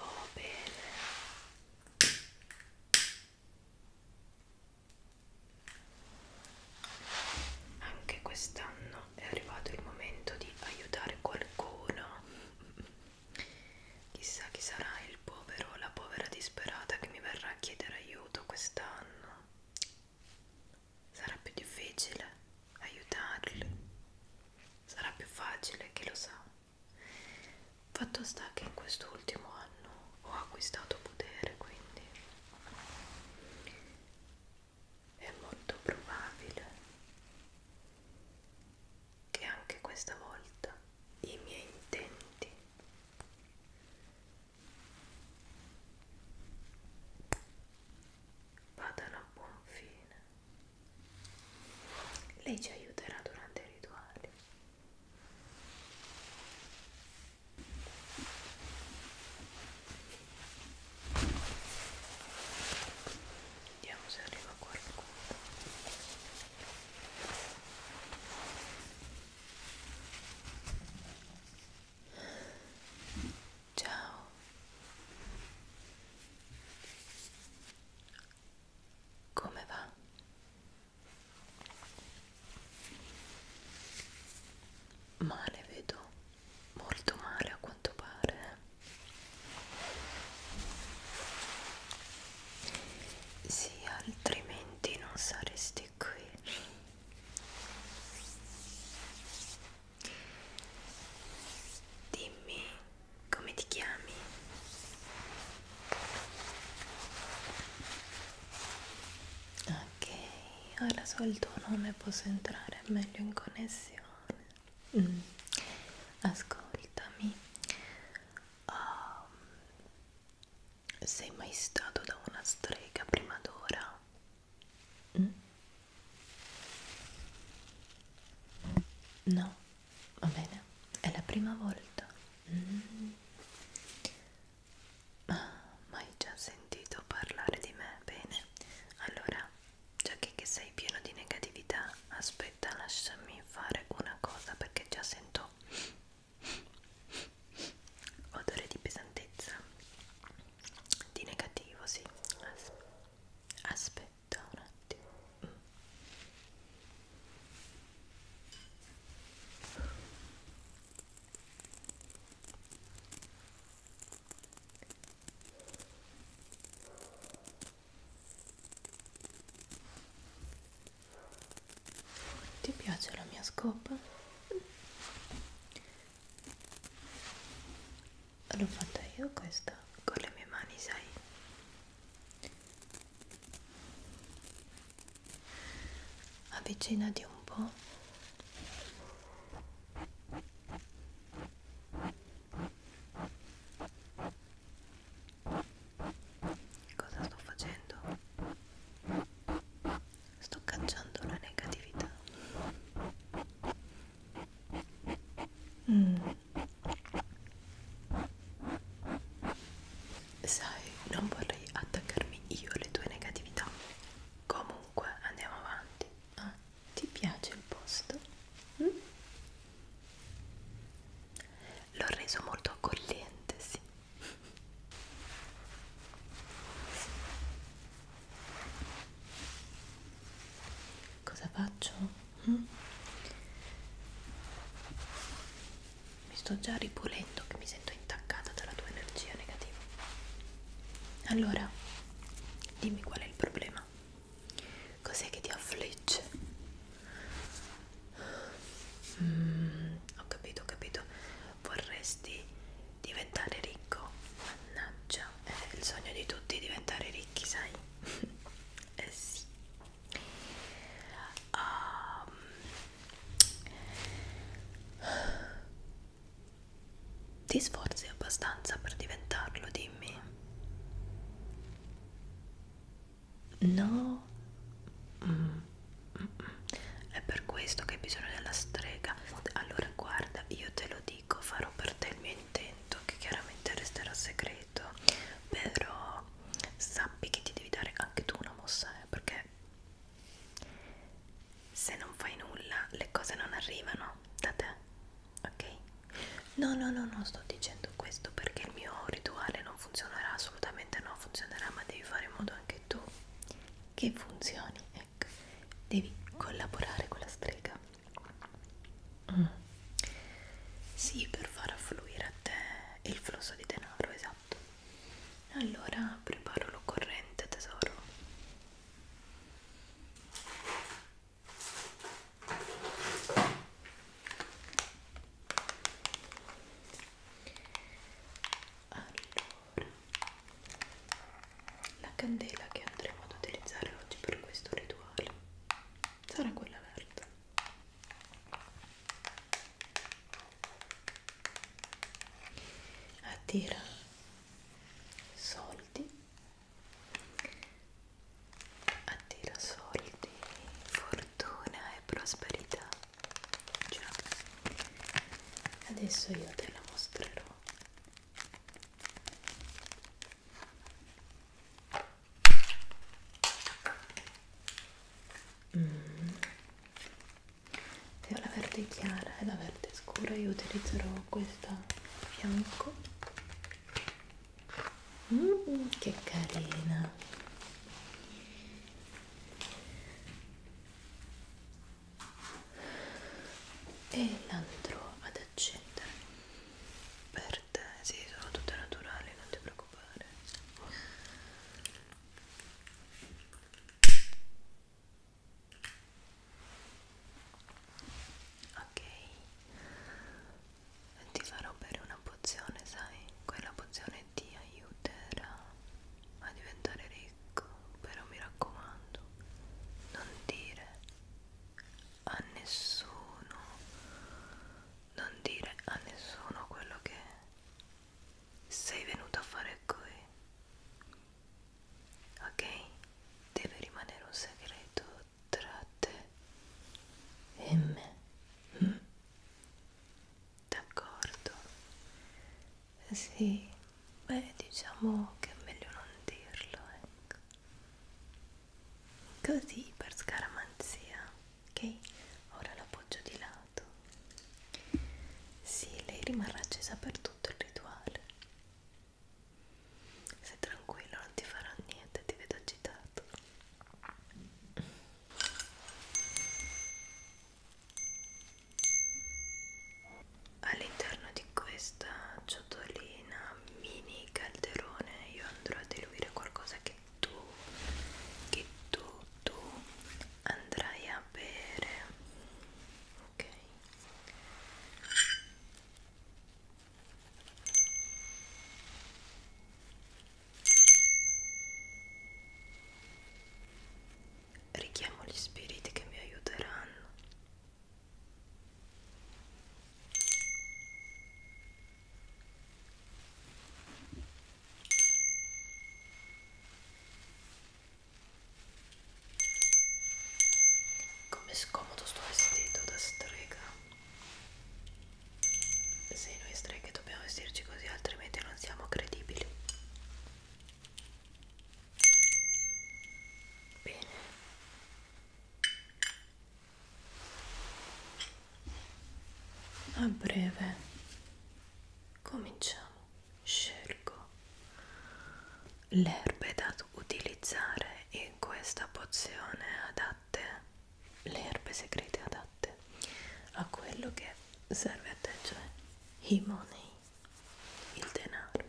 Oh, bene. Anche quest'anno è arrivato il momento di aiutare qualcuno Chissà chi sarà il povero o la povera disperata che mi verrà a chiedere aiuto quest'anno. Sarà più difficile aiutarli. Sarà più facile, chi lo sa. Fatto sta che in quest'ultimo anno ho acquistato potere, quindi è molto probabile che anche questa volta i miei intenti vadano a buon fine. Lei ci aiuterà durante i rituali vediamo se arriva qualcuno ciao come va? Male vedo, molto male a quanto pare sì altrimenti non saresti qui dimmi come ti chiami ok ora so il tuo nome posso entrare meglio in connessione Mm. Ascoltami, um, sei mai stato da una strega prima d'ora? Mm? No, va bene, è la prima volta. Mm. Ah, ma hai già sentito parlare di me? Bene, allora Già che, che sei pieno di negatività, aspetta, lasciami fare una cosa perché già sento odore di pesantezza, di negativo, sì. As aspetta un attimo. Mm. Ti piace la mia scopa? L'ho fatta io questa con le mie mani, sai? Avvicinati un po'. Cosa sto facendo? Sto cacciando la negatività. Mm. Sai, non vorrei attaccarmi io alle tue negatività. Comunque andiamo avanti. Ah. Ti piace il posto? Mm? L'ho reso molto accogliente, sì. Cosa faccio? Mm? Mi sto già ripulendo che mi sento intaccata dalla tua energia negativa. Allora, dimmi qual è il problema. Cos'è che ti affligge? Mm, ho capito, ho capito. Vorresti diventare ricco? Mannaggia, è il sogno di tutti diventare ricchi, sai? eh sì. Um, ti sforzi abbastanza per diventarlo, dimmi. No, mm, mm, mm. è per questo che hai bisogno della strega. Allora, guarda, io te lo dico, farò per te il mio intento, che chiaramente resterà segreto, però sappi che ti devi dare anche tu una mossa, eh, perché se non fai nulla le cose non arrivano da te ok? No, no, no, non sto dicendo questo perché il mio rituale non funzionerà assolutamente, no, funzionerà, ma devi fare in modo anche tu che funzioni, ecco, devi collaborare con la strega. Mm. Sì, per far affluire a te il flusso di denaro, esatto. Allora preparo l'occorrente tesoro. Allora, la candela che andremo ad utilizzare oggi per questo rituale sarà quella verde. Attira soldi attira soldi, fortuna e prosperità. Già. Adesso io te la mostrerò. Mm. Se ho la verde chiara e la verde scura io utilizzerò mettiamo questa a fianco mm, che carina e l'andrò ad accendere per te sì sono tutte naturali non ti preoccupare ok ti farò bere una pozione sai quella pozione ti aiuterà a diventare ricco però mi raccomando non dire a nessuno non dire a nessuno quello che sei venuto a fare qui ok? Deve rimanere un segreto tra te e me. Mm? D'accordo? Sì, beh, diciamo che è meglio non dirlo, ecco. Così per scaramanzia, ok? Ora l'appoggio di lato. Sì, lei rimarrà accesa per tutto il rituale. Sei tranquillo, non ti farò niente, ti vedo agitato. All'interno di questa ciotolina mini calderone io andrò a diluire qualcosa che tu, che tu, tu andrai a bere ok richiamo gli spiriti che mi aiuteranno Com'è scomodo sto vestito da strega. Se noi streghe dobbiamo vestirci così, altrimenti non siamo credibili. Bene. A breve cominciamo scelgo le erbe da utilizzare in questa pozione adatte, le erbe segrete adatte a quello che serve a te, cioè i money, il denaro.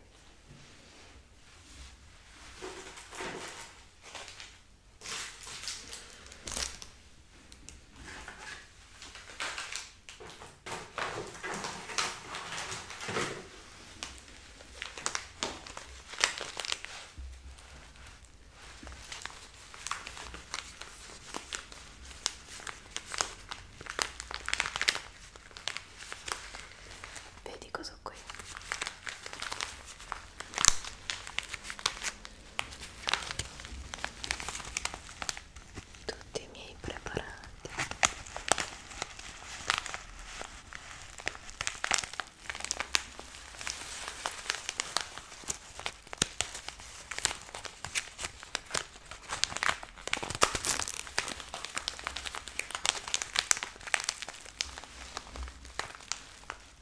Vedi cosa ho qui? tutti i miei preparati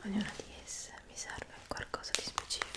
Ognuna di esse mi serve qualcosa di specifico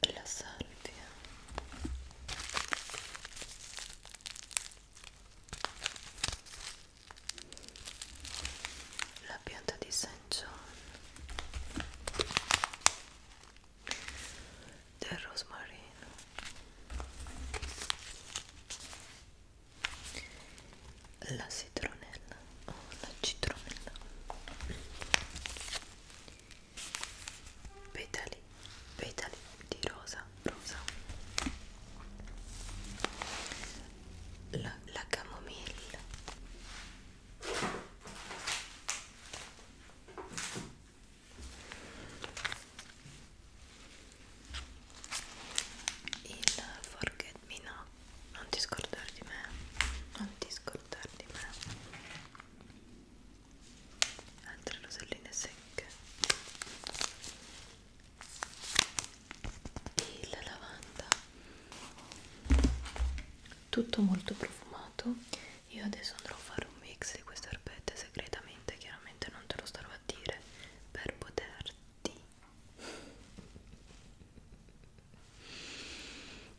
la salvia la pianta di Saint John del rosmarino la citronella o oh, la citronella petali petali di rosa rosa la, la camomilla il forget me no non ti scordare di me non ti scordare di me altre roselline secche il lavanda tutto molto profumato io adesso andrò a fare un mix di queste erbette segretamente chiaramente ovviamente non te lo starò a dire per poterti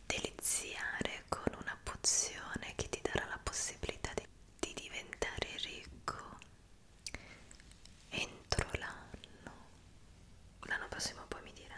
deliziare con una pozione che ti darà la possibilità di, di diventare ricco entro l'anno l'anno prossimo poi mi dirai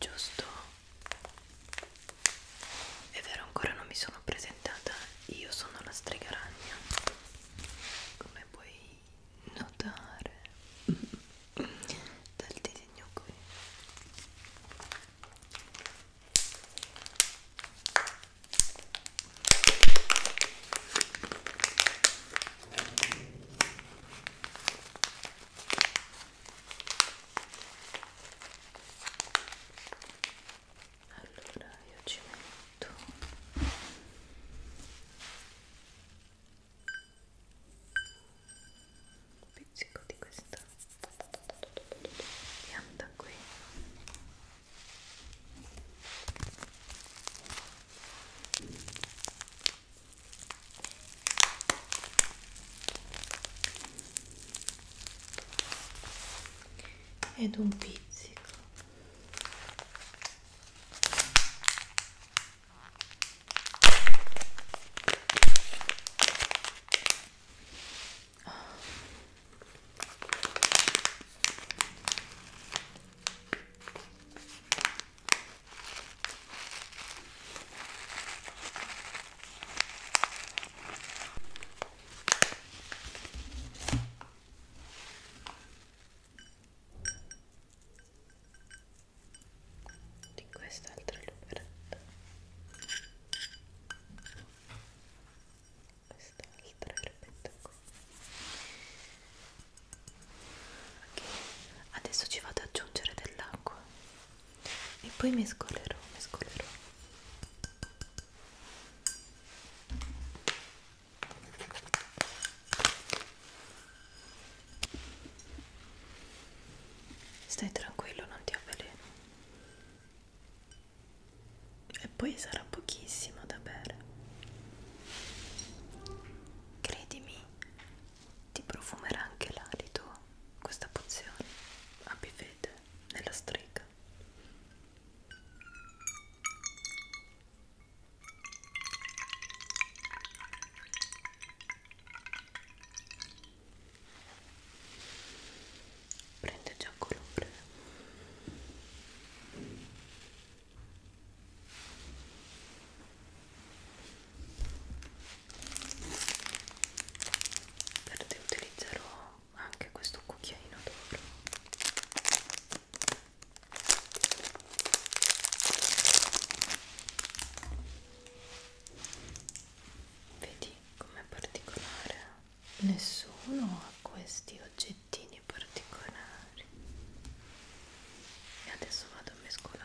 giusto è vero ancora non mi sono presentata io sono la strega ragna come puoi notare dal disegno qui allora io ci metto un pizzico di questa pianta qui ed un pizzico di quest'altra luperetta quest'altra e lo metto qui ok adesso ci vado ad aggiungere dell'acqua e poi mescolerò mescolerò Stai tranquillo, non ti avveleno e poi sarà pochissimo da bere. Credimi, ti profumerà anche l'alito questa pozione a bivete nella strega prende già colore verde utilizzerò anche questo cucchiaino d'oro vedi com'è particolare nessuno ha questi oggettini particolari e adesso vado a mescolare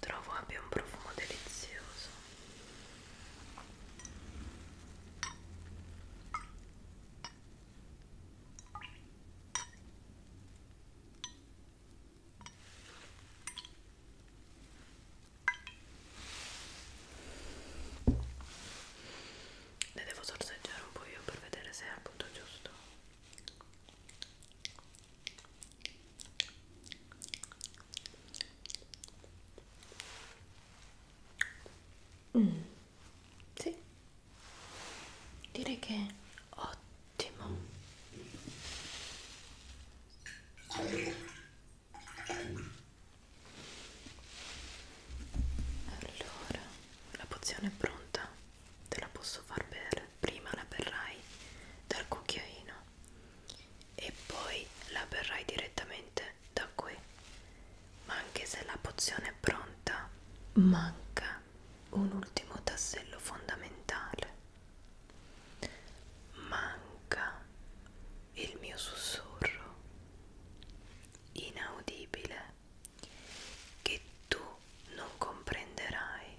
trovo abbia un profumo delizioso ne devo sorseggiare un po' io per vedere se è appunto giusto Mm. Sì, direi che è ottimo. Allora, la pozione è pronta, te la posso far bere. Prima la berrai dal cucchiaino e poi la berrai direttamente da qui. Ma anche se la pozione è pronta, manca un ultimo tassello fondamentale. Manca il mio sussurro inaudibile che tu non comprenderai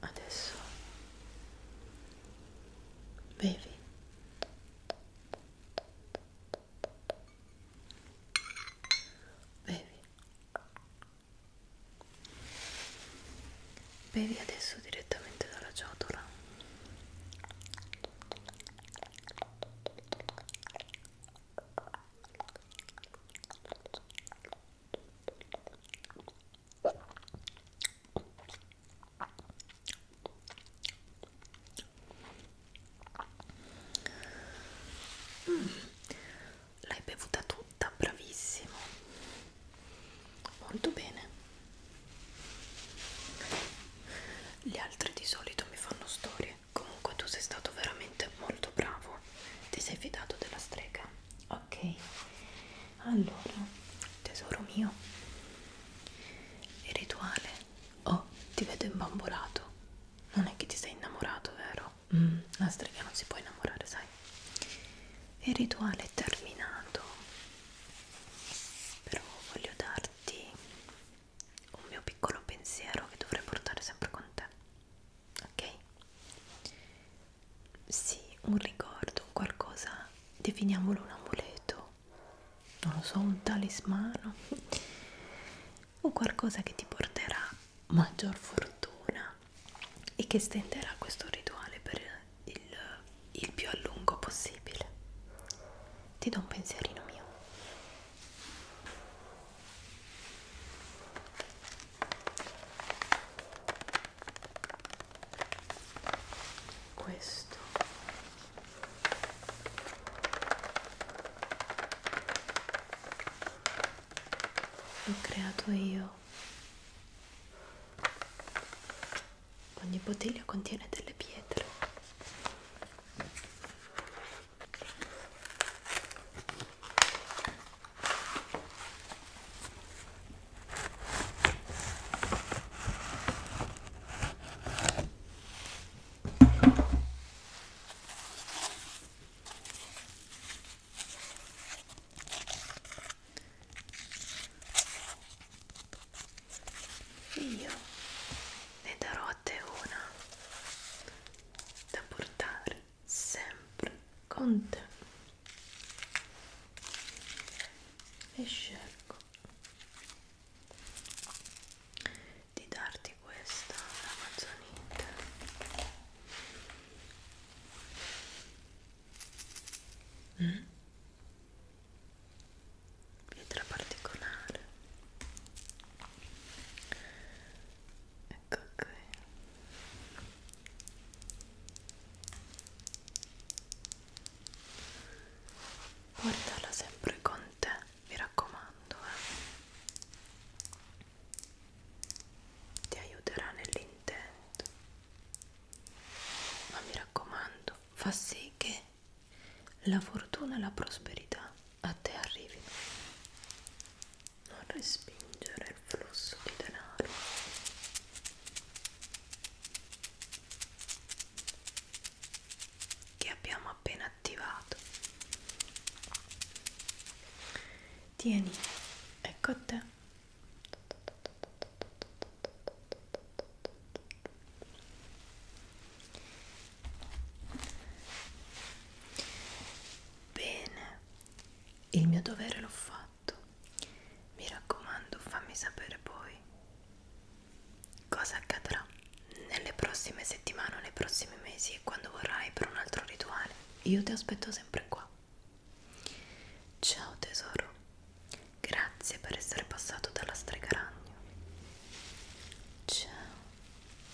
adesso bevi bevi bevi adesso direttamente dalla ciotola Mm, l'hai bevuta tutta, bravissimo, molto bene. Gli altri di solito mi fanno storie. Comunque tu sei stato veramente molto bravo. Ti sei fidato della strega? ok allora tesoro mio il rituale oh ti vedo imbambolato non è che ti sei innamorato vero? Mm, la strega non si può innamorare sai il rituale è terminato però voglio darti un mio piccolo pensiero che dovrei portare sempre con te ok? Sì, un ricordo, un qualcosa, definiamolo un amuleto, non lo so, un talismano, o qualcosa che ti porterà maggior fortuna e che stenderà questo rituale per il, il più a lungo possibile. Ti do un pensierino mio questo l'ho creato io ogni bottiglia contiene delle pietre io ne darò a te una da portare sempre con te e scelgo di darti questa amazonite mm? pietra particolare ecco qui portala sempre con te mi raccomando eh. ti aiuterà nell'intento ma mi raccomando fa sì che la fortuna e la prosperità a te arrivino. Non respingere il flusso di denaro. Che abbiamo appena attivato. Tieni, ecco a te. Bene, il mio dovere l'ho fatto. Mi raccomando, fammi sapere poi cosa accadrà nelle prossime settimane, nei prossimi mesi e quando vorrai per un altro rituale. Io ti aspetto sempre qua. Ciao tesoro, grazie per essere passato dalla stregaragno. Ciao.